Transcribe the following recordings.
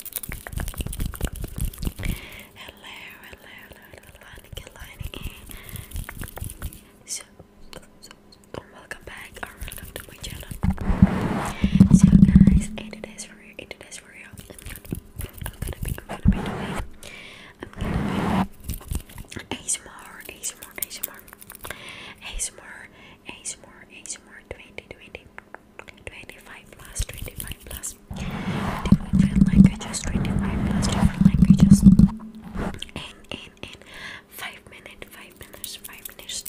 Hello, hello, hello, hello, So, so, oh, welcome back or to my channel. So, guys, it is for you, it is for you. I'm gonna be, I'm gonna be I'm gonna be ASMR, ASMR, ASMR, ASMR, ASMR, ASMR 2020. 25 plus 25 plus different languages 25 plus different languages in in in 5 minutes 5 minutes 5 minutes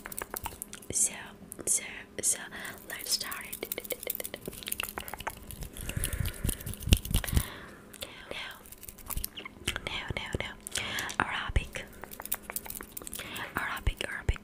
so so so let's start it now no, no, no. Arabic, Arabic, Arabic,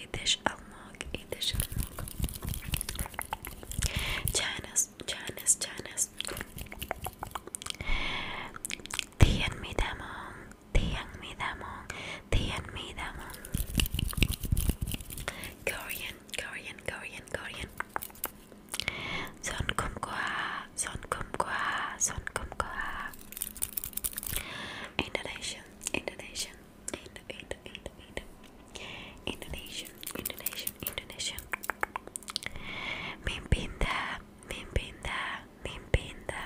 Yediş almak, yediş almak. Çayınız, çayınız, çayınız. Diyen mi demon, diyen mi demon, diyen mi demon. Korean, Korean, Korean, Korean. Son kumkua, son kumkua, son kumkua. Indonesian, Indonesian. Indo, Indo, Indo, Indo. Indonesian, Indonesian, Indonesian. Mimpinda, Mimpinda, Mimpinda.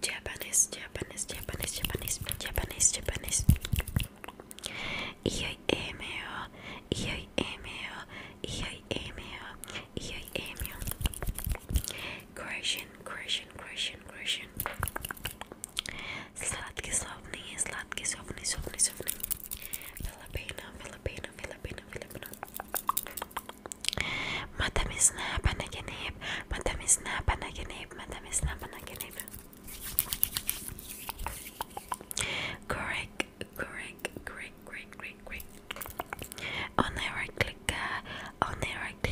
Japanese, Japanese, Japanese, Japanese, Japanese, Japanese. Ioi emeo, ioi emeo, ioi emeo, ioi emeo. Croatia, Croatian, Croatian, Croatian, Croatian. Slatki slovni, slatki slovni, slovni, slovni. Filipino, Filipino, Filipino, Filipino. Madam is not panaginib, madam Correct, correct, correct, correct, correct, correct. On the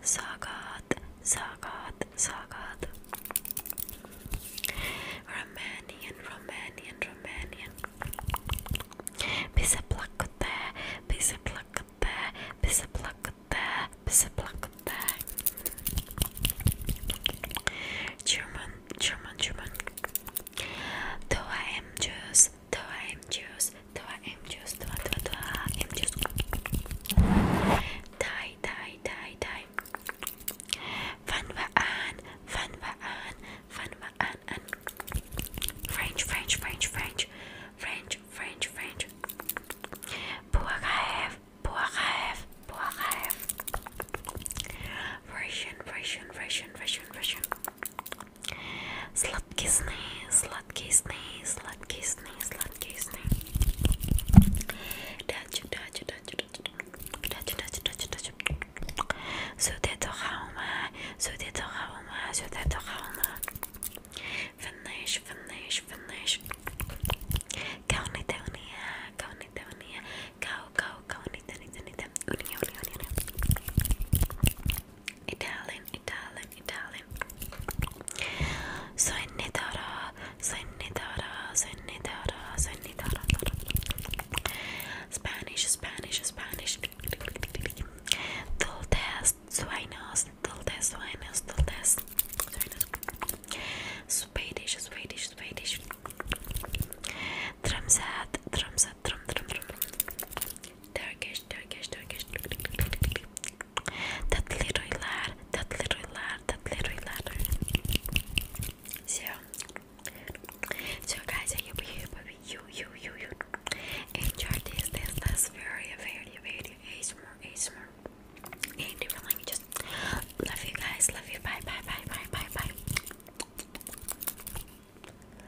Sagat, Sagat, Sagat. Romanian, Romanian, Romanian. Bisa plakute, bisa plakute, German, German, German. Do I am juice? Dua M juice, dua dua dua M juice. Thai, Thai, Thai, Thai. Van và an, van và an, van và an an. French, French, French, French, French, French, French. Buakaev, Buakaev, Buakaev. Russian, Russian, Russian, Russian, Russian. Slow, Sladký sny, sladký sny, sladký sny, sladký sny. Zůte to chaume, zůte to chaume, zůte to chaume. Finish, finish, finish. Kauni te unie, kauni te unie, kau, kau, kauni te, ni te, ni te, unie, unie, unie. Italian, Italian, Italian. Sonnidara, sonnidara, sonnidara, sonnidara. Spanish, Spanish, Spanish. Dulces, sueños, dulces, sueños, dulces. Swedish, Swedish, Swedish. Drumset, drumset, drum, drum, drum. Turkish, Turkish, Turkish. That little lad, that little lad, that little lad. So, so guys, I hope you, you, you, you enjoy this. This, that's very, very, very ASMR, ASMR in different languages. Love you guys. Love you. Bye, bye, bye, bye, bye, bye.